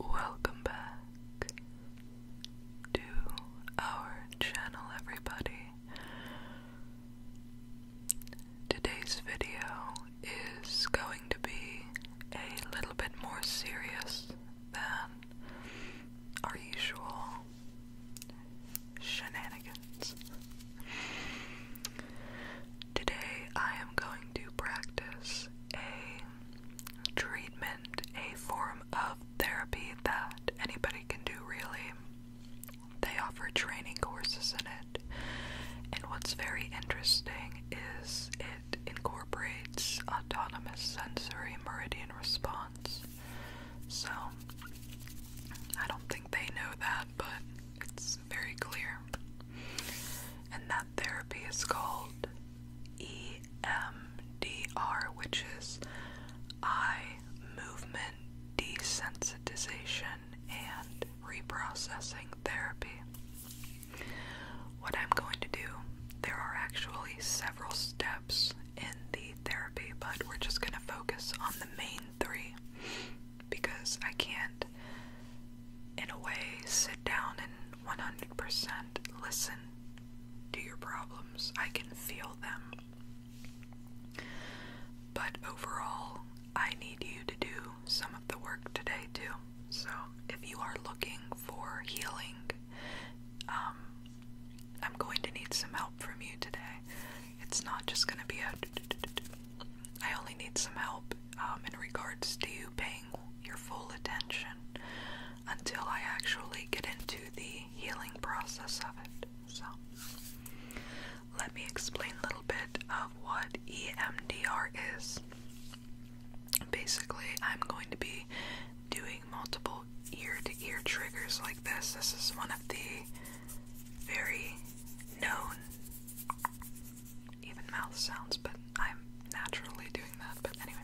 Welcome back to our channel, everybody. Today's video is going to be a little bit more serious than our usual shenanigans. Today I am going to practice a treatment, a form of therapy that anybody can do really. They offer training courses in it, and what's very interesting is it incorporates autonomous sensory meridian response. So, I don't think they know that, but it's very clear. And that therapy is called EMDR, which is eye movement desensitization and reprocessing therapy. What I'm going to do, there are actually several steps in the therapy, but we're just going to focus on the main three because I can't, in a way, sit down and 100% listen to your problems. I can feel them. But overall, I need you to do some of the work today, too. So if you are looking for healing, um, I'm going to need some help from you today. It's not just gonna be a. I only need some help um, in regards to you paying your full attention until I actually get into the healing process of it. So, let me explain a little bit of what EMDR is. Basically, I'm going to be doing multiple ear to ear triggers like this. This is one of the very known, even mouth sounds, but I'm naturally doing that. But anyway,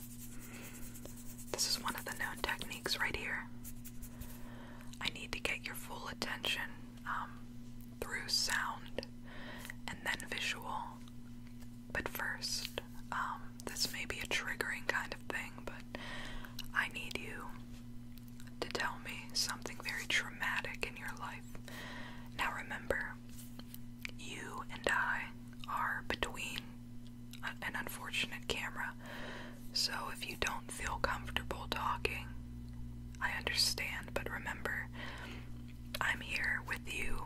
this is one of the known techniques right here. I need to get your full attention um, through sound and then visual. But first, um, this may be a triggering kind of thing, but I need you to tell me something very traumatic in your life. Now remember, you and I are between an unfortunate camera, so if you don't feel comfortable talking, I understand, but remember, I'm here with you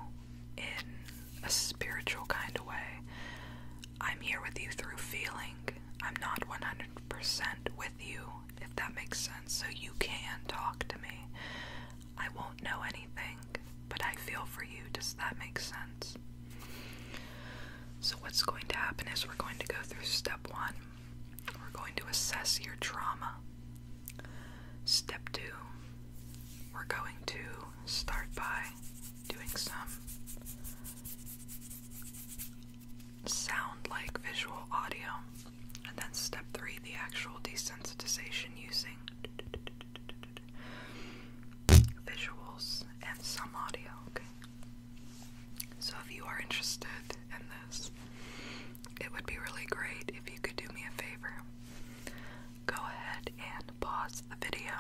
in a spiritual kind of way. I'm here with you through feeling, I'm not 100% with you, if that makes sense. So you can talk to me. I won't know anything, but I feel for you. Does that make sense? So, what's going to happen is we're going to go through step one. We're going to assess your trauma. Step two, we're going to start by doing some sound like visual audio. And then step three, the actual desensitization using visuals and some audio. Okay. So if you are interested in this, it would be really great if you could do me a favor. Go ahead and pause the video.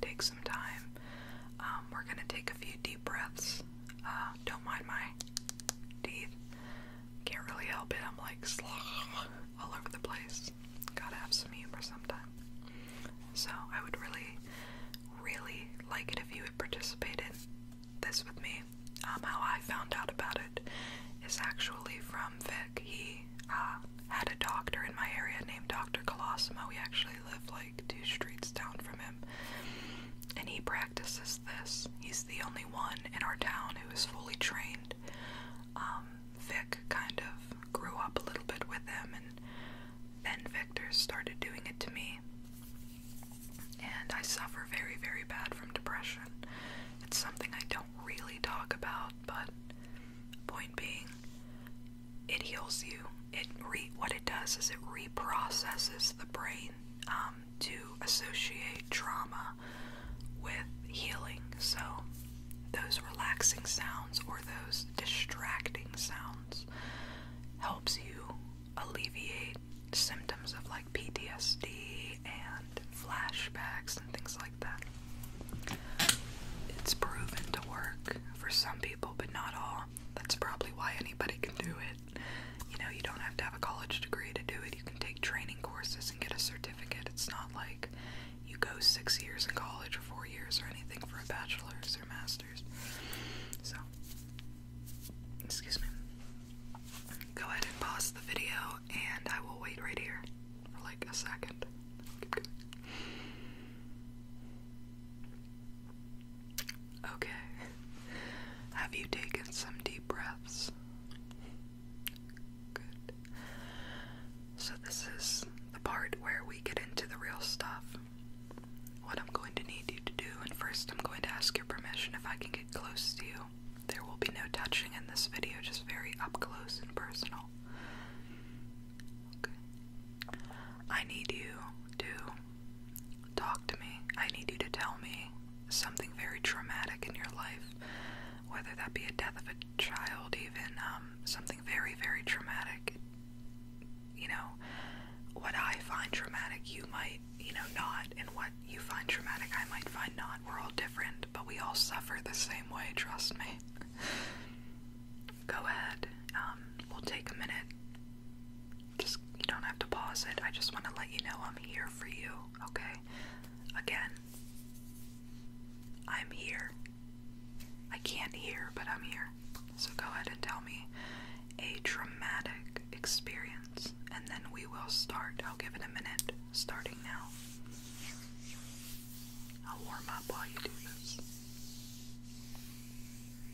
Take some time um, we're gonna take a few deep breaths. Uh, don't mind my teeth. Can't really help it. I'm like all over the place. Gotta have some humor sometime. So I would really, really like it if you would participate in this with me. Um, how I found out about it is actually from Vic. He uh, had a doctor in my area named Dr. Colosimo. We actually live like two streets down from him. And he practices this. He's the only one in our town who is fully trained. Um, Vic kind of grew up a little bit with him, and then Victor started doing it to me. And I suffer very, very bad from depression. It's something I don't really talk about, but point being, it heals you. It re what it does is it reprocesses the brain um, to associate trauma with healing. So those relaxing sounds or those distracting sounds helps you alleviate symptoms of like PTSD and flashbacks and things like that. It's proven to work for some people, but not all. That's probably why anybody can do it. You know, you don't have to have a college degree to do it. You can take training courses and get a certificate. It's not like you go six years in college or four years or anything for a bachelor's or master's. So, excuse me. Go ahead and pause the video and I will wait right here for like a second. Okay. Have you taken some deep breaths? Good. So, this is the part where we get into the real stuff. What I'm going to need you to do, and first I'm going to ask your permission if I can get close to you. There will be no touching in this video, just very up close and personal. I need you to talk to me. I need you to tell me something very traumatic in your life, whether that be a death of a child, even um, something very, very traumatic. You know, what I find traumatic, you might, you know, not, and what you find traumatic, I might find not. We're all different, but we all suffer the same way, trust me go ahead. Um, we'll take a minute. Just you don't have to pause it. I just want to let you know I'm here for you, okay? Again, I'm here. I can't hear, but I'm here. So go ahead and tell me a traumatic experience, and then we will start. I'll give it a minute starting now. I'll warm up while you do this.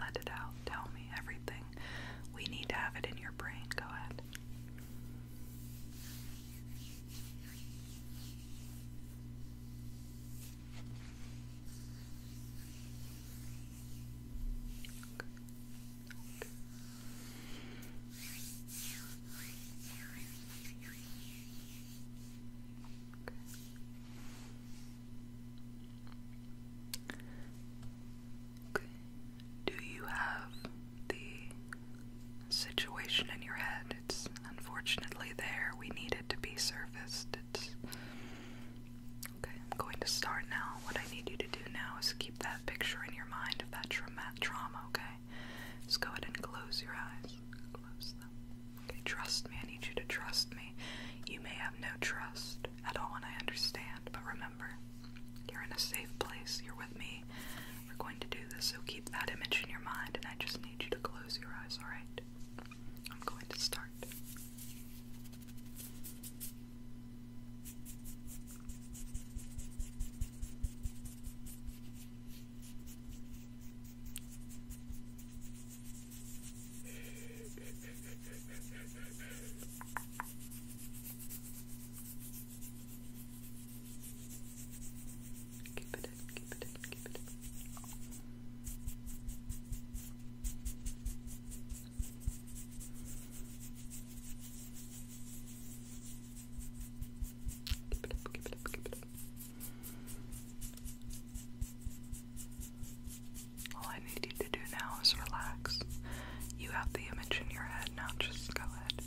Let it out. Tell me everything. We need to have it in your brain. Go ahead. Do you have the situation in your head? It's unfortunately there. We need it to be surfaced. It's okay. I'm going to start now. What I need you to do now is keep that picture in your mind of that trauma. Okay. Just go ahead and close your eyes. Close them. Okay. Trust me. I need you to trust me. You may have no trust at all, and I understand. But remember, you're in a safe place, you're with me. We're going to do this, so keep that image in your mind, and I just need you to close your eyes, alright? I'm going to start. Keep it in, keep it in, keep it in. Keep it up, keep it up, keep it up. All I need you to do now is relax. You have the image in your head now, just go ahead.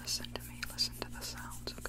Listen to me, listen to the sounds, okay?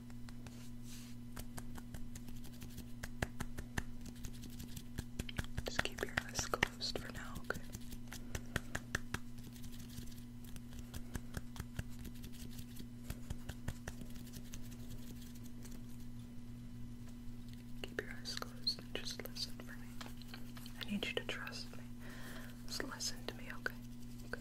Just keep your eyes closed for now, okay? Keep your eyes closed just listen for me. I need you to trust me. Just listen to me, okay? Okay.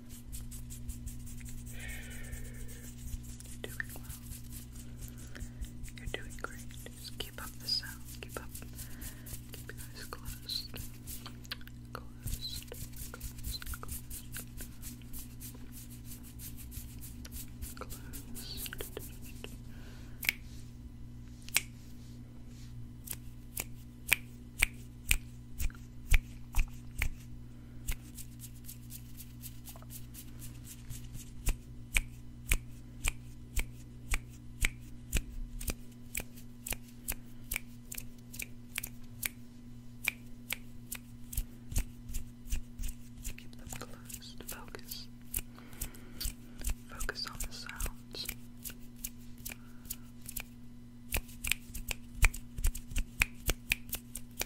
you doing well. You're doing great. Just keep up the sound. Keep up. Keep your eyes closed. Closed. Closed. Closed. Closed. Keep them closed. Focus. Focus on the sounds.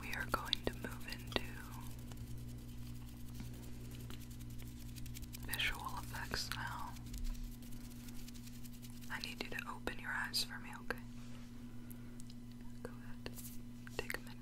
We are going to move into visual effects now. I need you to open your eyes for me, okay? Go ahead. Take a minute.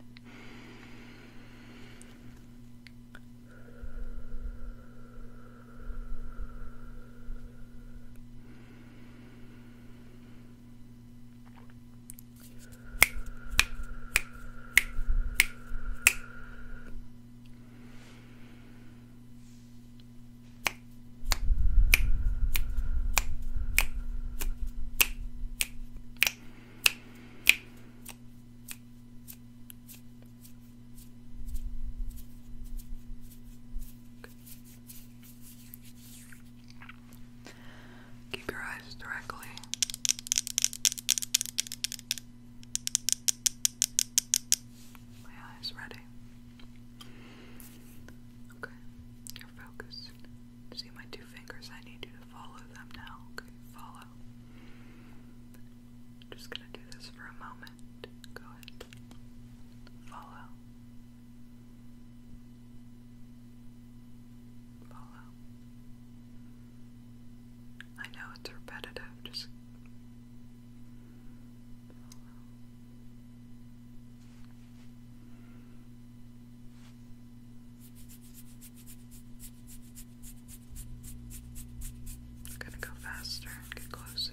Keep your eyes directly my eyes ready. Okay, you're See my two fingers? I need you to follow them now. Okay, follow. just gonna do this for a moment. Go ahead. Follow. Follow. I know it's repetitive, just gonna go faster and get closer.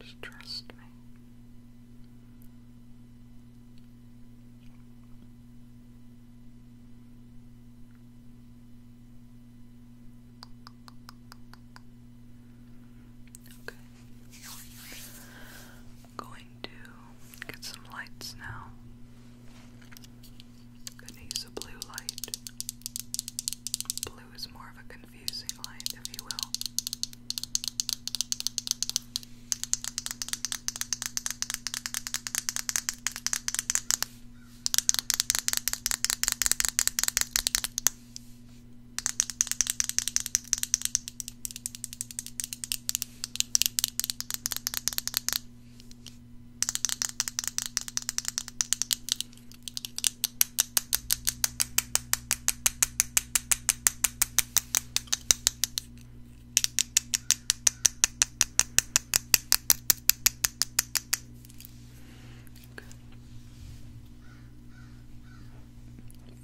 Just trust me. Okay going to get some lights now. Gonna use a blue light. Blue is more of a confusing light, if you will.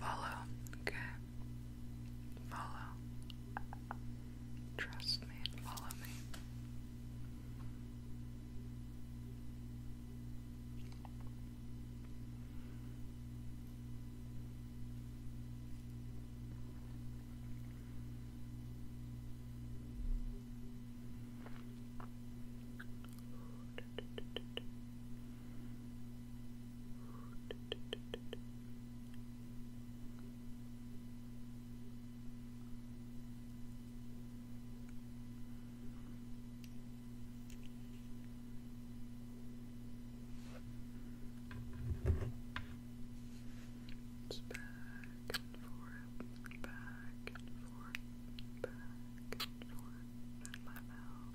Follow, okay. Follow. Trust me follow me. It's back and forth, back and forth, back and forth, and my mouth.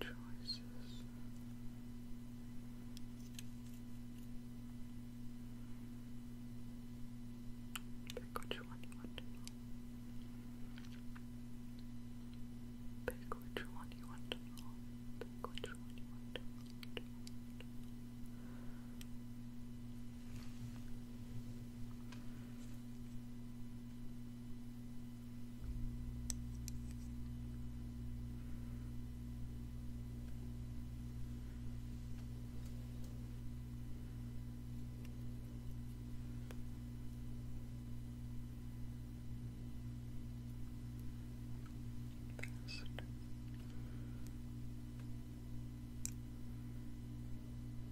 choices. Pick which one you want to know. Pick which one you want to know. Pick which one you want to know. Best.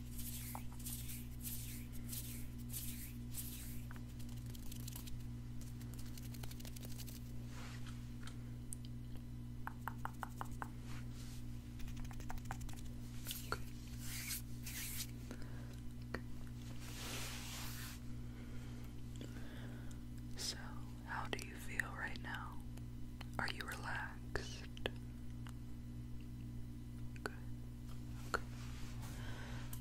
Okay. Okay. So, how do you feel right now? Are you relaxed? Okay.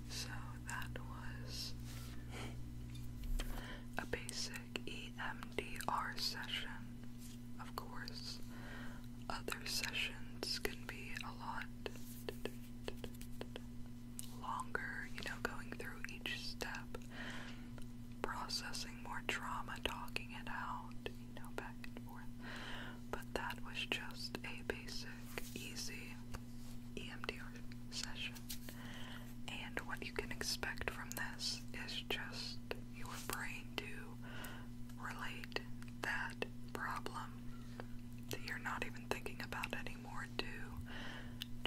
So that was a basic EMDR session. Of course, other sessions can be a lot longer, you know, going through each step, processing more trauma, talking it out, you know, back and forth but that was just a basic, easy EMDR session. And what you can expect from this is just your brain to relate that problem that you're not even thinking about anymore to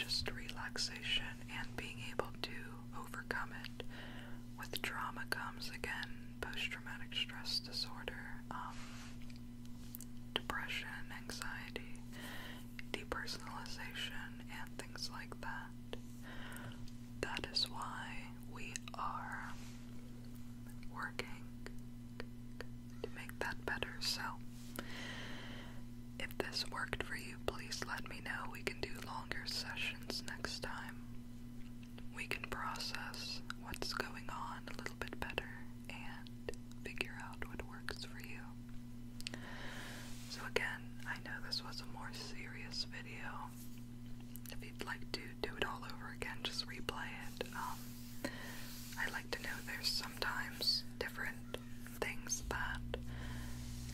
just relaxation and being able to overcome it. With trauma comes again post traumatic stress disorder, um, depression, anxiety, depersonalization, and things like that. That is why we are working to make that better. So, if this worked for you, please let me know. We can do longer sessions next time we can process what's going on a little bit better and figure out what works for you. So, again, I know this was a more serious video. If you'd like to do it all over again, just replay it. Um, I like to know there's sometimes different things that,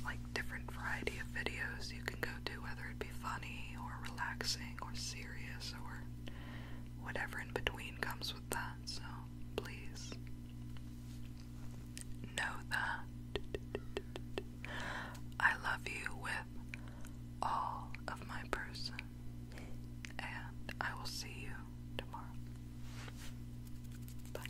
like, different variety of videos you can go to, whether it be funny or relaxing or serious or whatever in between comes with that. So please know that I love you with all of my person, and I will see you tomorrow. Bye.